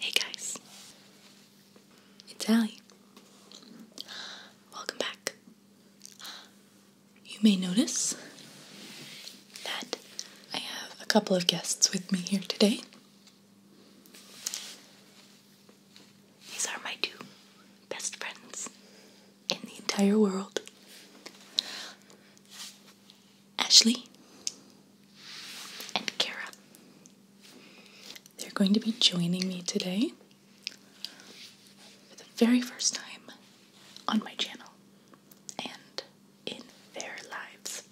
Hey guys, it's Ali. Welcome back. You may notice that I have a couple of guests with me here today. These are my two best friends in the entire world Ashley and Kara. They're going to be joining me today for the very first time on my channel and in their lives.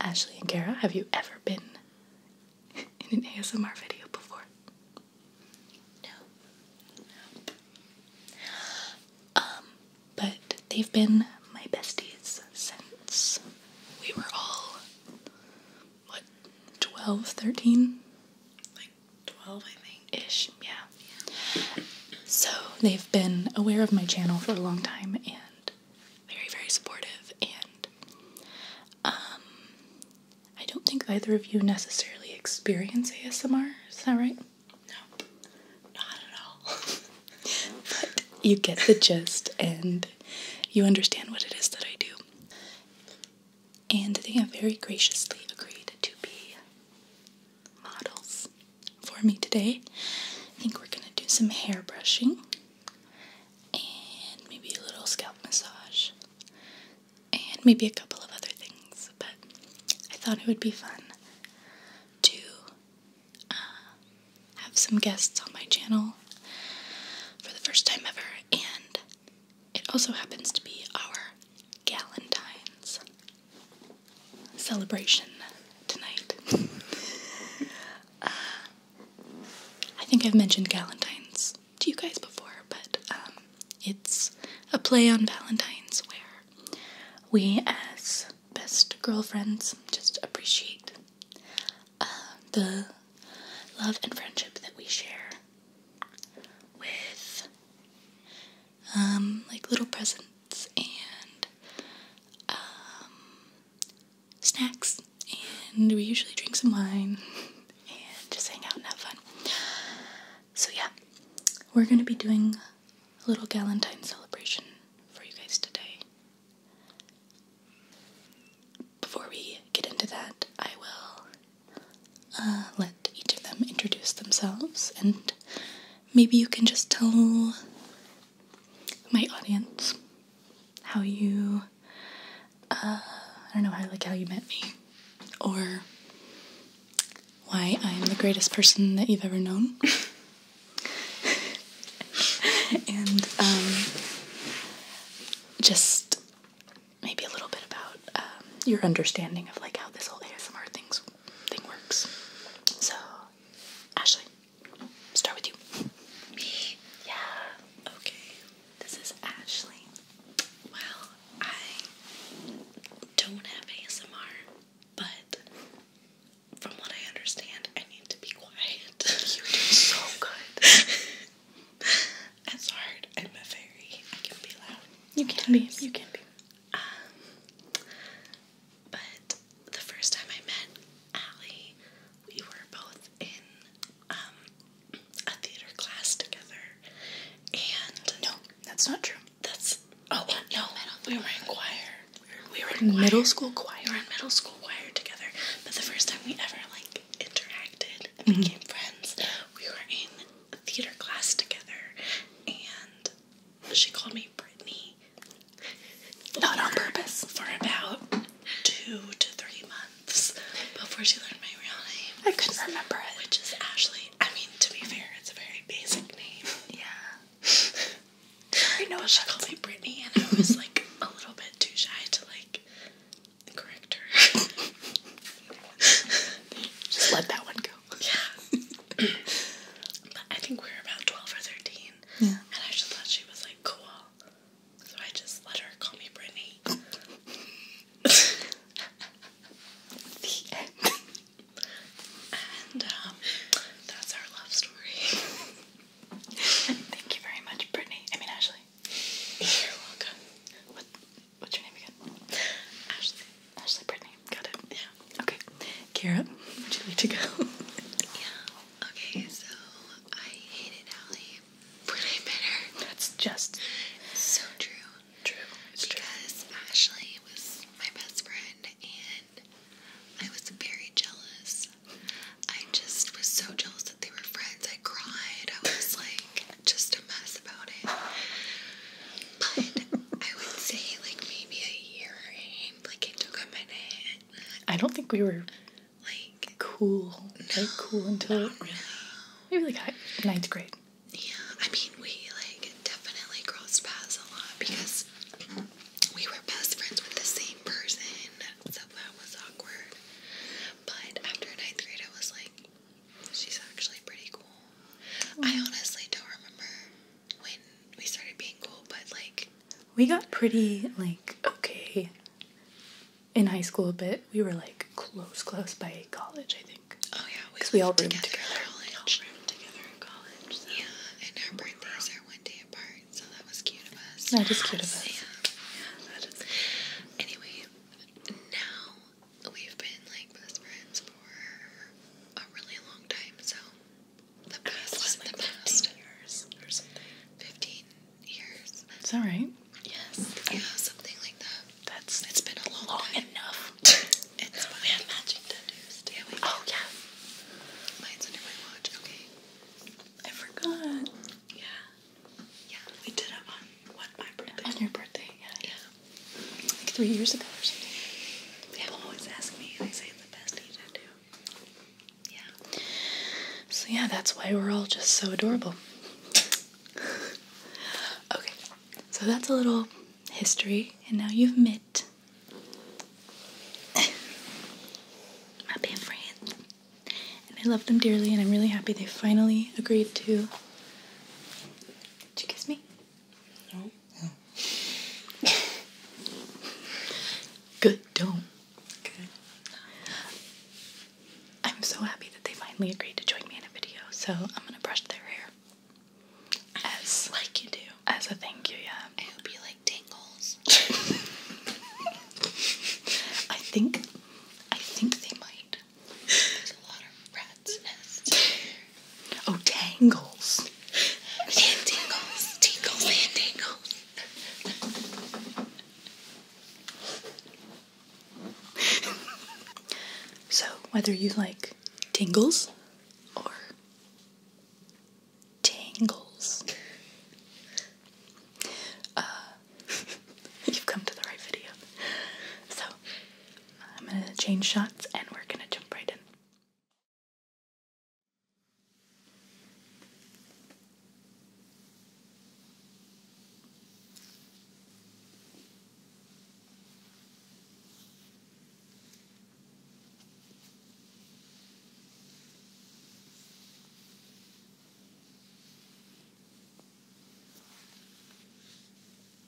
Ashley and Kara, have you ever been in an ASMR video before? No. No. Um, but they've been my besties since we were all, what, 12, 13? Like 12, I think. Ish, yeah. So they've been aware of my channel for a long time and very, very supportive, and um, I don't think either of you necessarily experience ASMR. Is that right? No, not at all. but you get the gist, and you understand what it is that I do. And they have very graciously agreed to be models for me today. I think we're going to do some hair brushing and maybe a little scalp massage and maybe a couple of other things, but I thought it would be fun to uh, have some guests on my channel for the first time ever, and it also happens to be our Galentine's celebration tonight. Uh, I think I've mentioned Galentine's to you guys before, but um, it's a play on Valentine's where we, as best girlfriends, just appreciate uh, the love and friendship that we share with um, like little presents and um, snacks, and we usually drink some wine and just hang out and have fun. So, yeah, we're gonna be doing a little Galentine celebration for you guys today. Before we get into that, I will uh, let each of them introduce themselves, and maybe you can just tell my audience, how you, uh, I don't know how like how you met me, or why I am the greatest person that you've ever known. and um, just maybe a little bit about um, your understanding of like how this whole ASMR things thing works. So Ashley, start with you. Me? Yeah. Okay. This is Ashley. Well, I don't have ASMR, but from what I understand, I need to be quiet. You do so good. It's I'm a fairy. I can be loud. You can be. You can be. Um, but the first time I met Allie, we were both in um, a theater class together. And no, that's not true. That's oh no, we were in choir. We were in middle school choir. We were in middle school choir together. But the first time we ever like interacted and mm-hmm. became friends, we were in theater class together, and she called me Brittany, not on purpose, for about two to three months before she learned my real name. I couldn't remember it. Which is Ashley. I mean, to be fair, it's a very basic name. Yeah. I know she called me Brittany, and I was like a little bit too shy to like correct her. Just let that one go. Yeah. but I think we were about 12 or 13. And I thought she was like cool. So I just let her call me Brittany. the end. And um, that's our love story. Thank you very much, Brittany. I mean, Ashley. You're welcome. What, what's your name again? Ashley. Ashley Brittany got it. Yeah. Okay. Kara, would you like to go? yeah. Okay, so I hated Allie when I met her. That's just so true. True. because Ashley was my best friend and I was very jealous. I just was so jealous that they were friends. I cried. I was like just a mess about it but I would say like maybe a year like it took a minute. I don't think we were like cool. like cool until really no. maybe like ninth grade. Yeah, I mean we like definitely crossed paths a lot because we were best friends with the same person, so that was awkward. But after ninth grade, I was like, she's actually pretty cool. I mm. honestly don't remember when we started being cool, but like we got pretty like okay in high school a bit. We were like close, close by college, I think. Oh yeah, because we, we all roomed together. together. We all roomed together in college. So. Yeah, and our birthdays are one day apart, so that was cute of us. That is cute of us. Yeah. Yeah, that is. Anyway, now we've been like best friends for a really long time, so the past was the past. 15 years or something. 15 years. Is that Yes. Yeah, something like that. That's it's been a long, enough. it's fun. We have matching tattoos. oh yeah. Mine's under my watch. Okay. I forgot. Yeah. Yeah. We did it on what my birthday. On your birthday, yeah. Yeah three years ago or something. People always ask me, and I say the best age I do. Yeah. So yeah, that's why we're all just so adorable. okay, so that's a little history, and now you've met my band friends, and I love them dearly, and I'm really happy they finally agreed to. Did you kiss me? Good, don't. I'm so happy that they finally agreed to join me in a video, so I'm gonna brush their hair. As like you do. As a thank you, yeah. I hope you like tingles. I think I think they might. There's a lot of red Oh, tangles. Tangles, tangles, tingles, and tingles. so, whether you like tangles or tangles, uh, you've come to the right video. So, I'm going to change shots and we're going to jump right in.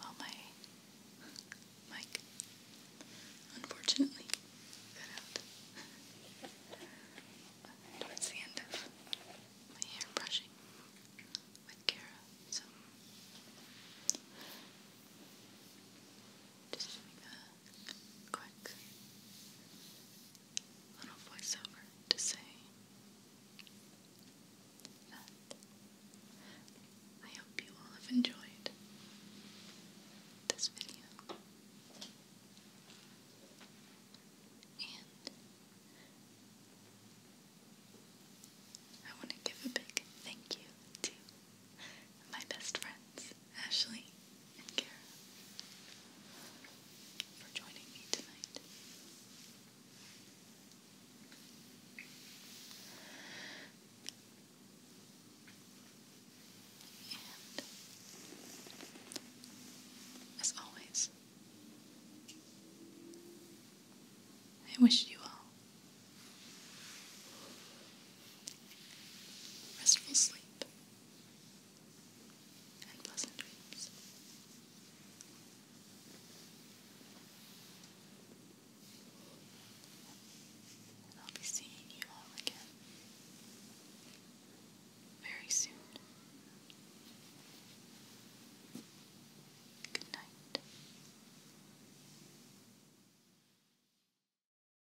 well, my mic unfortunately got out towards the end of my hair brushing with Kara, so just make a quick little voiceover to say that I hope you all have enjoyed this video. And I want to give a big thank you to my best friends Ashley, and Kara for joining me tonight. as always, I wish you all restful sleep and pleasant dreams. I'll be seeing you all again very soon. Good night.